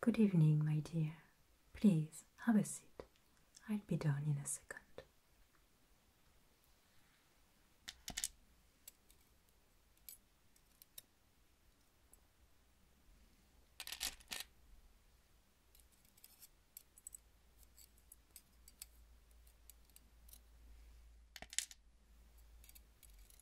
Good evening, my dear. Please have a seat. I'll be down in a second.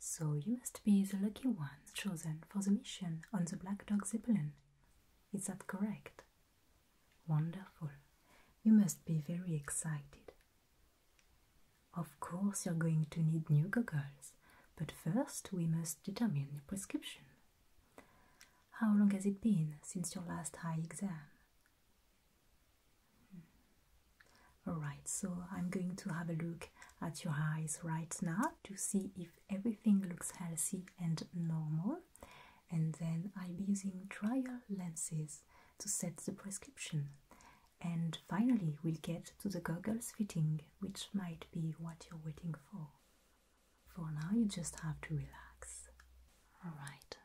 So you must be the lucky one chosen for the mission on the Black Dog Zeppelin. Is that correct? Wonderful. You must be very excited. Of course, you're going to need new goggles, but first we must determine the prescription. How long has it been since your last eye exam? Hmm. Alright, so I'm going to have a look at your eyes right now to see if everything looks healthy and normal, and then I'll be using trial lenses to set the prescription. And finally, we'll get to the goggles fitting, which might be what you're waiting for. For now, you just have to relax. Alright,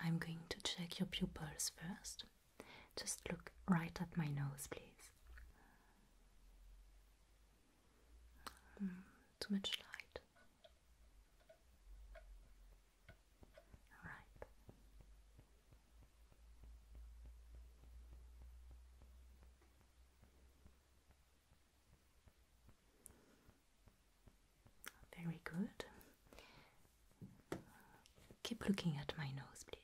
I'm going to check your pupils first. Just look right at my nose, please. Hmm, too much light. Right. Very good. Keep looking at my nose, please.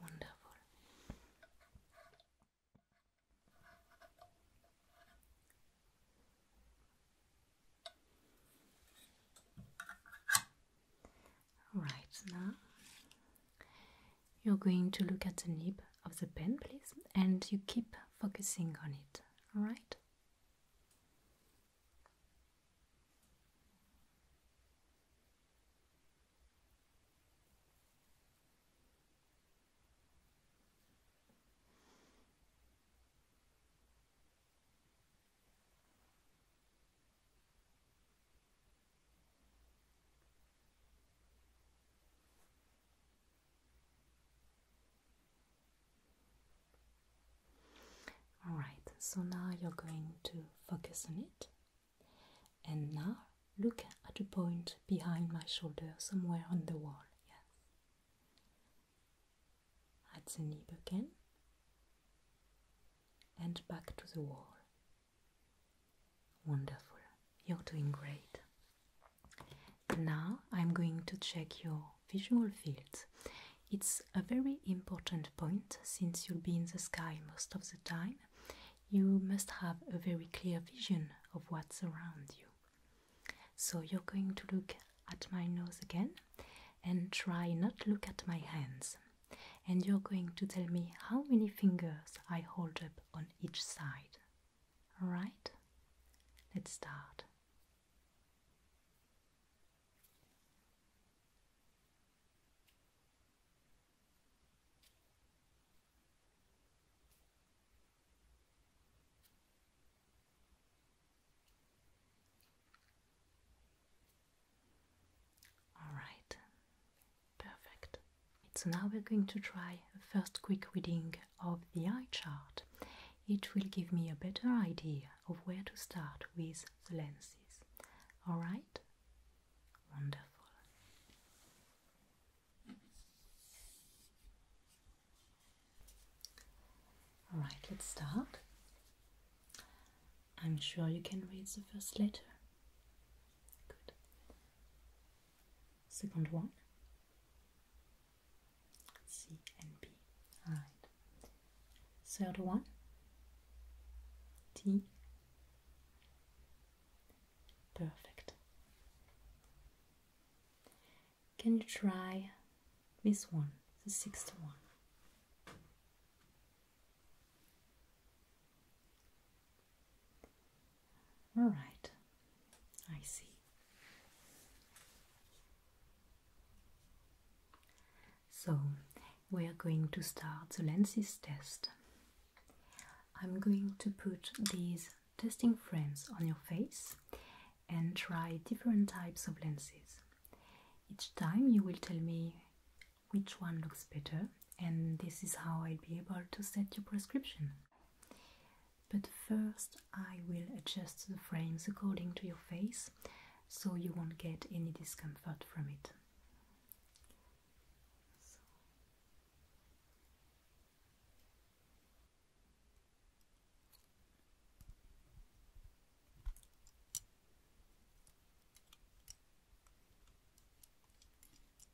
Wonderful. Right now, you're going to look at the nib of the pen, please, and you keep focusing on it, all right? Alright, so now you're going to focus on it. And now look at the point behind my shoulder, somewhere on the wall. Yes. At the knee again. And back to the wall. Wonderful, you're doing great. Now I'm going to check your visual fields. It's a very important point since you'll be in the sky most of the time. You must have a very clear vision of what's around you. So you're going to look at my nose again and try not look at my hands. And you're going to tell me how many fingers I hold up on each side. Alright? Let's start. All right, Perfect. So now we're going to try a first quick reading of the eye chart. It will give me a better idea of where to start with the lenses. Alright? Wonderful. Alright, let's start. I'm sure you can read the first letter. Good. Second one. C and B. Alright. Third one. T. Perfect. Can you try this one, the sixth one? All right, I see. So we are going to start the lenses test. I'm going to put these testing frames on your face and try different types of lenses. Each time you will tell me which one looks better and this is how i will be able to set your prescription. But first I will adjust the frames according to your face so you won't get any discomfort from it.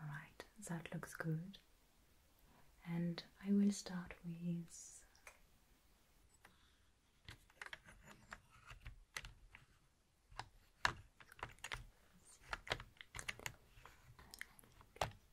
All right, that looks good. And I will start with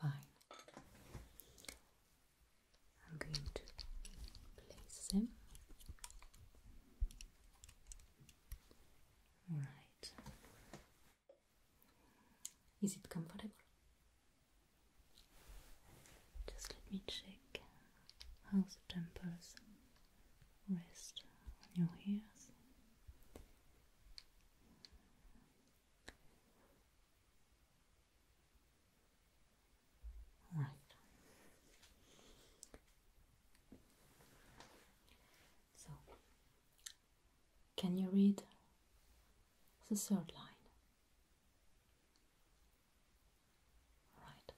Fine. I'm going to place them. All right. Is it comfortable? Just let me check how the tempers rest on your ears. Right. So, can you read the third line? Right.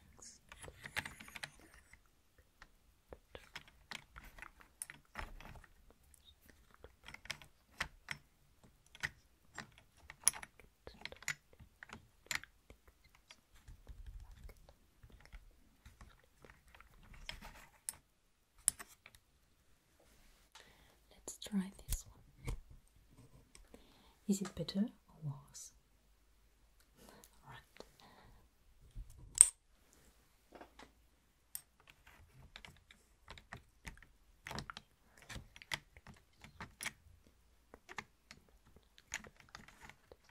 Next. Good. Let's try this one. Is it better or worse? Alright.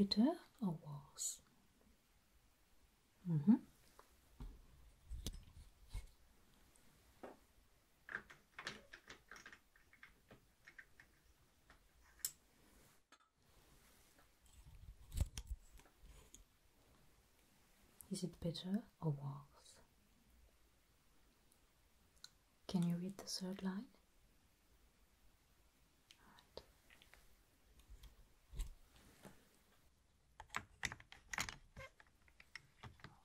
Bitter or worse? Mm -hmm. Is it better or worse? Can you read the third line?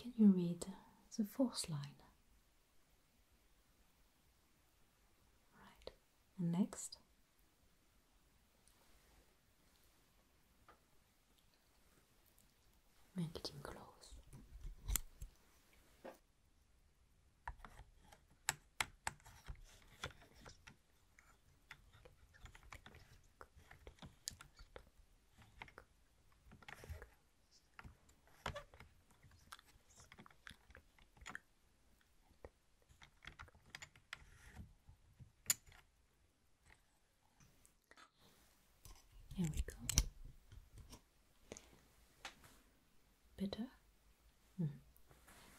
Can you read the fourth line? Right, and next. Make close. Here we go. Better? Hmm.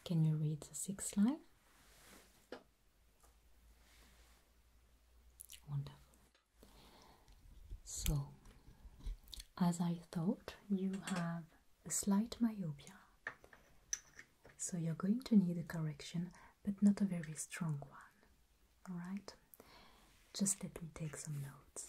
Can you read the sixth line? Wonderful. So, as I thought, you have a slight myopia. So, you're going to need a correction, but not a very strong one. Alright? Just let me take some notes.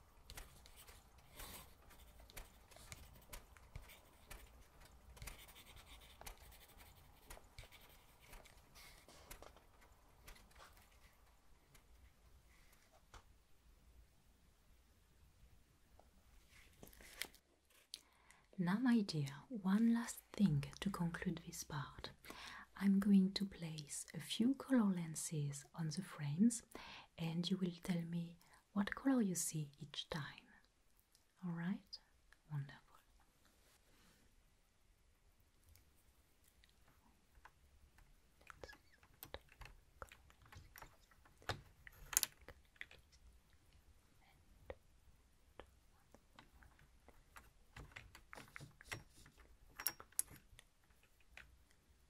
Now, my dear, one last thing to conclude this part. I'm going to place a few color lenses on the frames, and you will tell me what color you see each time. All right? Wonderful.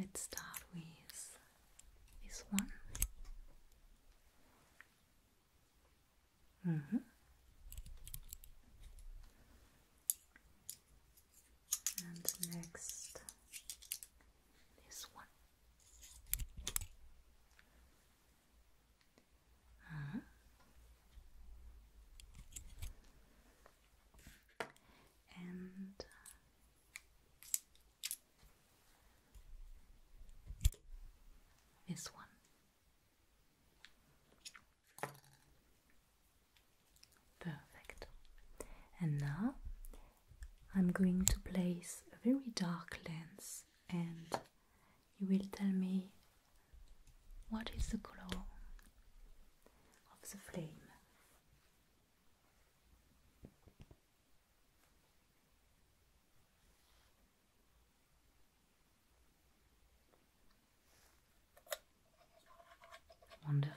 Let's start with this one. Mm -hmm. And next, this one. Uh-huh. And uh, this one. Perfect. And now I'm going to place a very dark lens and you will tell me what is the glow of the flame. Wonderful.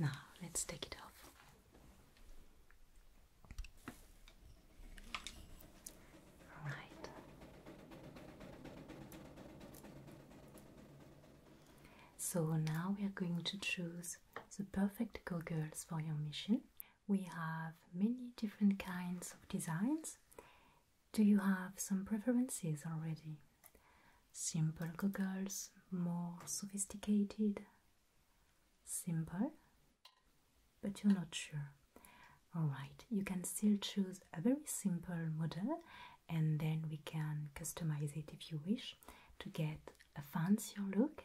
Now let's take it off. All right. So now we are going to choose the perfect goggles for your mission we have many different kinds of designs. Do you have some preferences already? Simple goggles, more sophisticated, simple, but you're not sure. Alright, you can still choose a very simple model and then we can customize it if you wish to get a fancier look.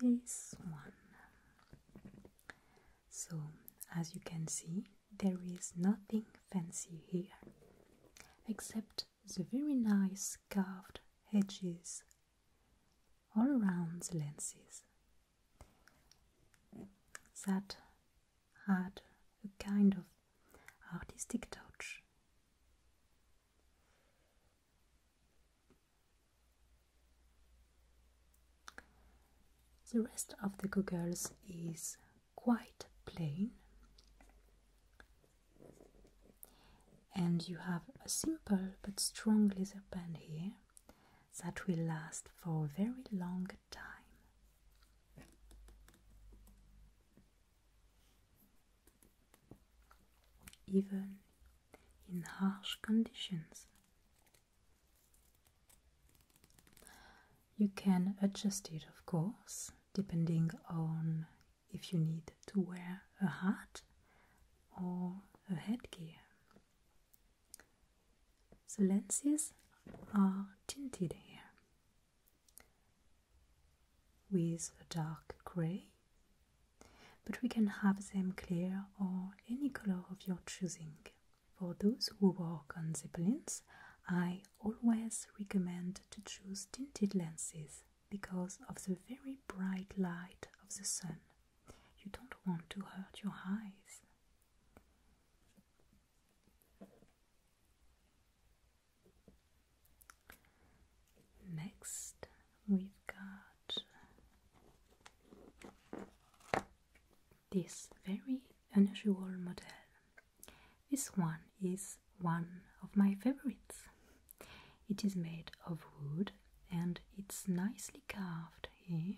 this one. So, as you can see, there is nothing fancy here except the very nice carved edges all around the lenses that had a kind of artistic touch the rest of the goggles is quite plain, and you have a simple but strong laser pen here that will last for a very long time even in harsh conditions. You can adjust it, of course, depending on if you need to wear a hat or a headgear. The lenses are tinted here with a dark grey, but we can have them clear or any color of your choosing. For those who work on zeppelins, I always recommend to choose tinted lenses because of the very bright light of the sun. You don't want to hurt your eyes. Next, we've got this very unusual model. This one is one of my favorites. It is made of wood and it's nicely carved here.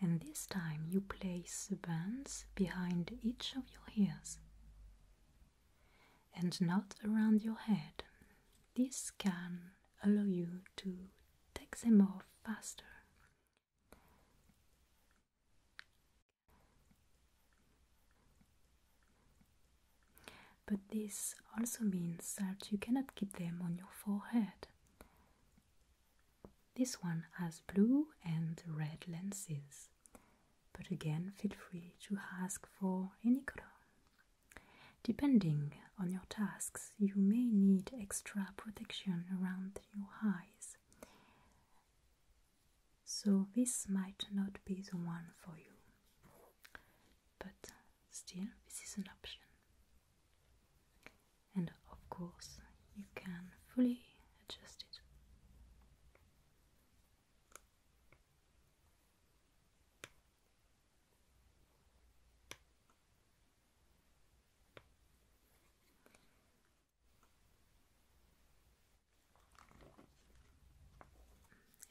And this time you place the bands behind each of your ears and not around your head. This can allow you to take them off faster. But this also means that you cannot keep them on your forehead. This one has blue and red lenses, but again, feel free to ask for any color. Depending on your tasks, you may need extra protection around your eyes, so this might not be the one for you. But still, this is an option. And of course, you can fully adjust it.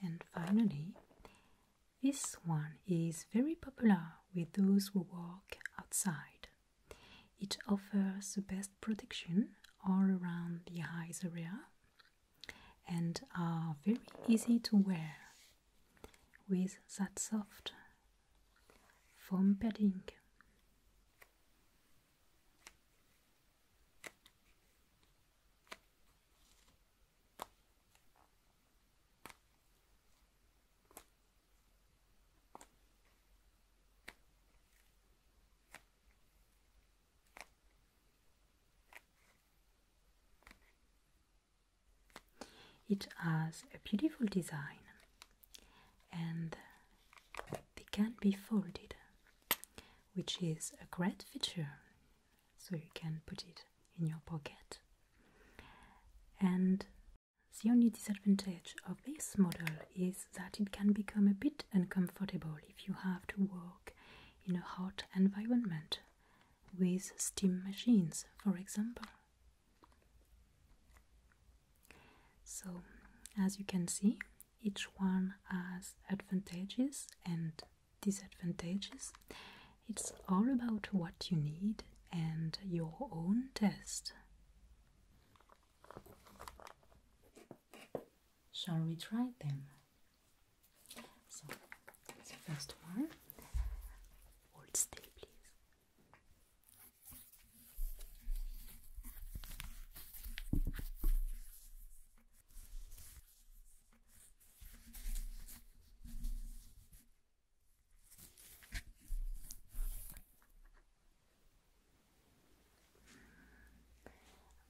And finally, this one is very popular with those who walk outside. It offers the best protection all around the eyes area and are very easy to wear with that soft foam padding. It has a beautiful design and they can be folded, which is a great feature. So you can put it in your pocket. And the only disadvantage of this model is that it can become a bit uncomfortable if you have to work in a hot environment with steam machines, for example. So, as you can see, each one has advantages and disadvantages. It's all about what you need and your own test. Shall we try them? So, the first one. Hold still, please.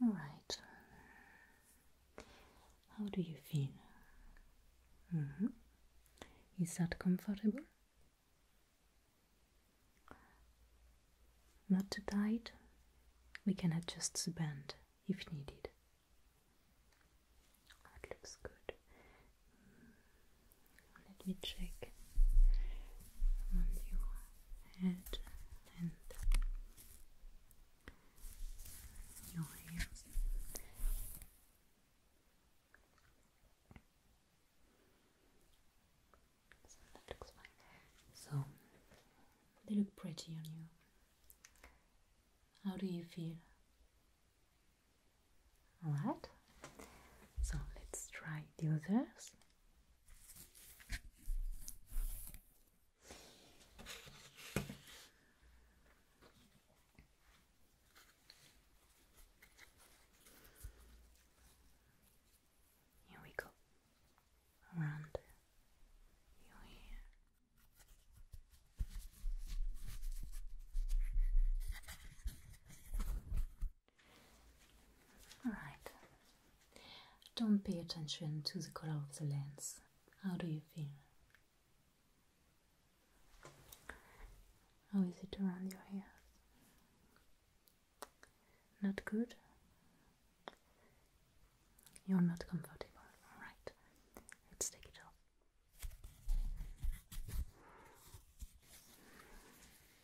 All right. How do you feel? Mm-hmm. Is that comfortable? Not too tight? We can adjust the band if needed. That looks good. Let me check on your head and your hair. So that looks fine. So they look pretty on you. How do you feel? Alright, so let's try the others. Here we go around your ear. Alright, don't pay attention to the color of the lens. How do you feel? How is it around your hair? Not good? You're not comfortable. Alright, let's take it off.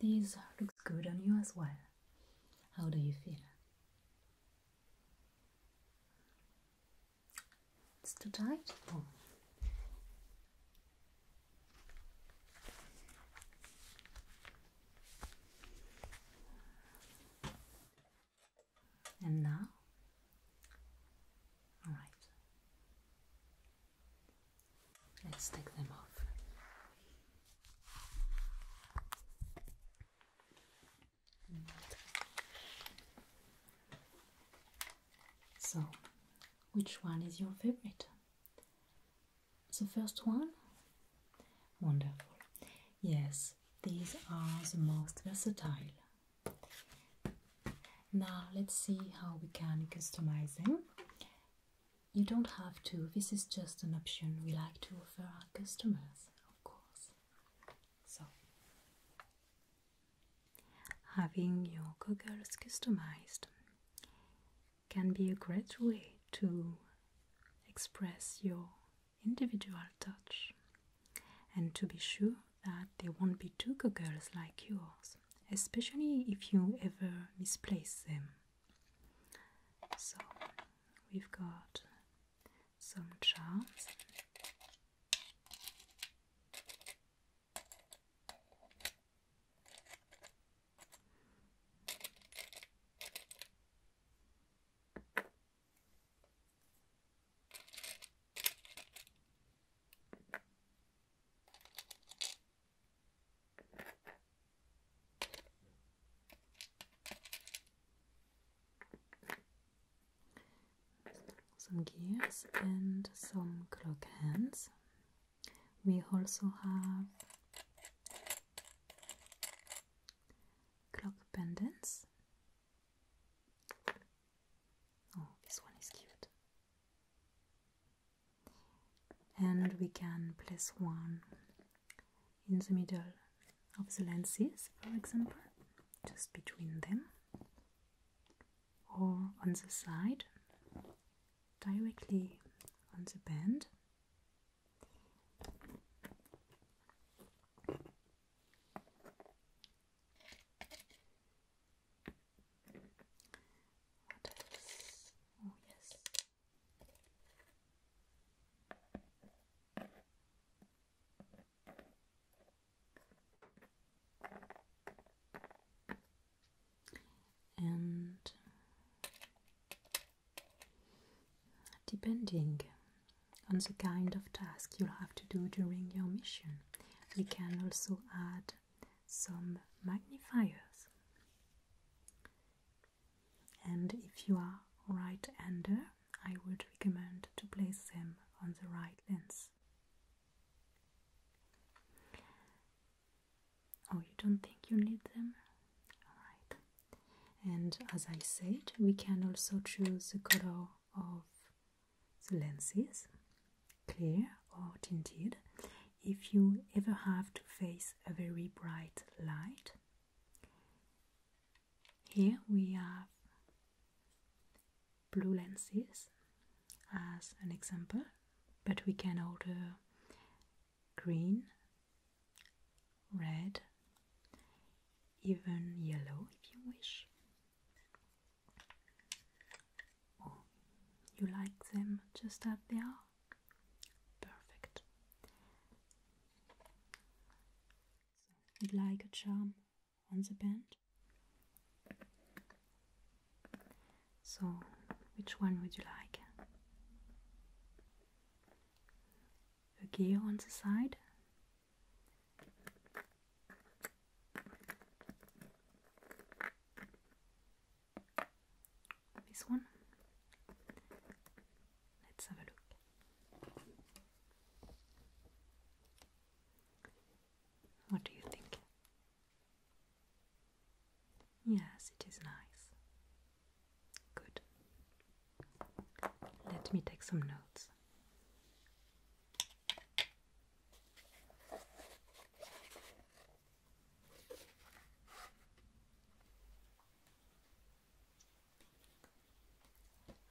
This looks good on you as well. How do you feel? It's too tight? Oh. And now? Alright. Let's take them off. So, which one is your favorite? The first one? Wonderful. Yes, these are the most versatile. Now let's see how we can customize them. You don't have to, this is just an option we like to offer our customers, of course. So, having your goggles customized can be a great way to express your individual touch and to be sure that they won't be two goggles like yours especially if you ever misplace them. So we've got some charms. Some gears and some clock hands. We also have clock pendants. Oh, this one is cute and we can place one in the middle of the lenses, for example, just between them, or on the side, directly on the band. Oh, yes. And depending on the kind of task you'll have to do during your mission, we can also add some magnifiers. And if you are right-hander, I would recommend to place them on the right lens. Oh, you don't think you need them? Alright. And as I said, we can also choose the color of the lenses clear or tinted if you ever have to face a very bright light. Here we have blue lenses as an example, but we can order green, red, even yellow if you wish or you like them just as they are? Perfect. So, you'd like a charm on the band? So, which one would you like? A gear on the side? This one. Let's have a look. What do you think? Yes, it is nice. Good. Let me take some notes.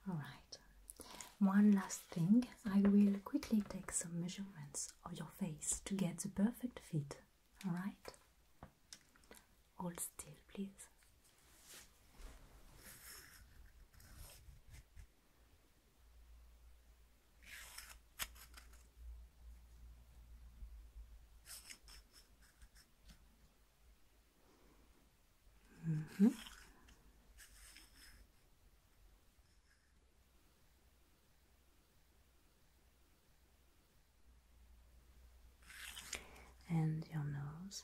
All right, one last thing. I will quickly take some measurements of your face to get the perfect fit. All right, hold still, please. -hmm. And your nose,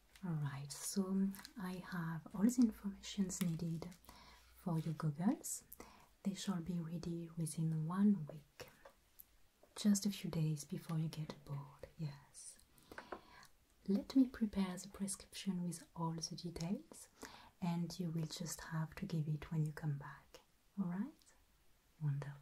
Alright, so I have all the informations needed for your goggles. They shall be ready within one week, just a few days before you get bored, yes. Let me prepare the prescription with all the details and you will just have to give it when you come back, alright? Wonderful.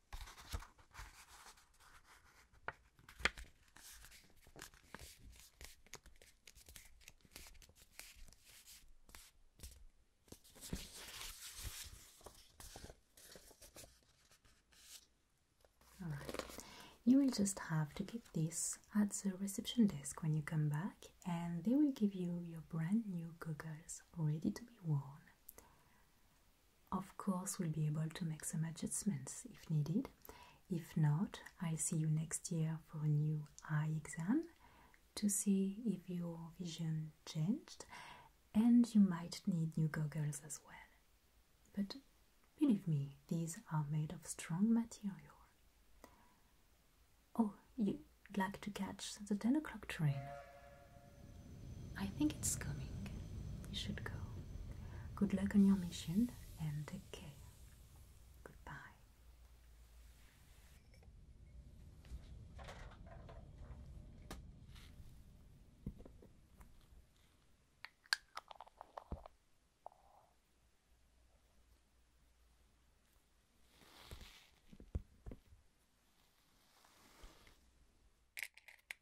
You will just have to keep this at the reception desk when you come back, and they will give you your brand new goggles ready to be worn. Of course, we'll be able to make some adjustments if needed. If not, I'll see you next year for a new eye exam to see if your vision changed and you might need new goggles as well. But believe me, these are made of strong material. Oh, you'd like to catch the 10 o'clock train. I think it's coming. You should go. Good luck on your mission and take care. Goodbye.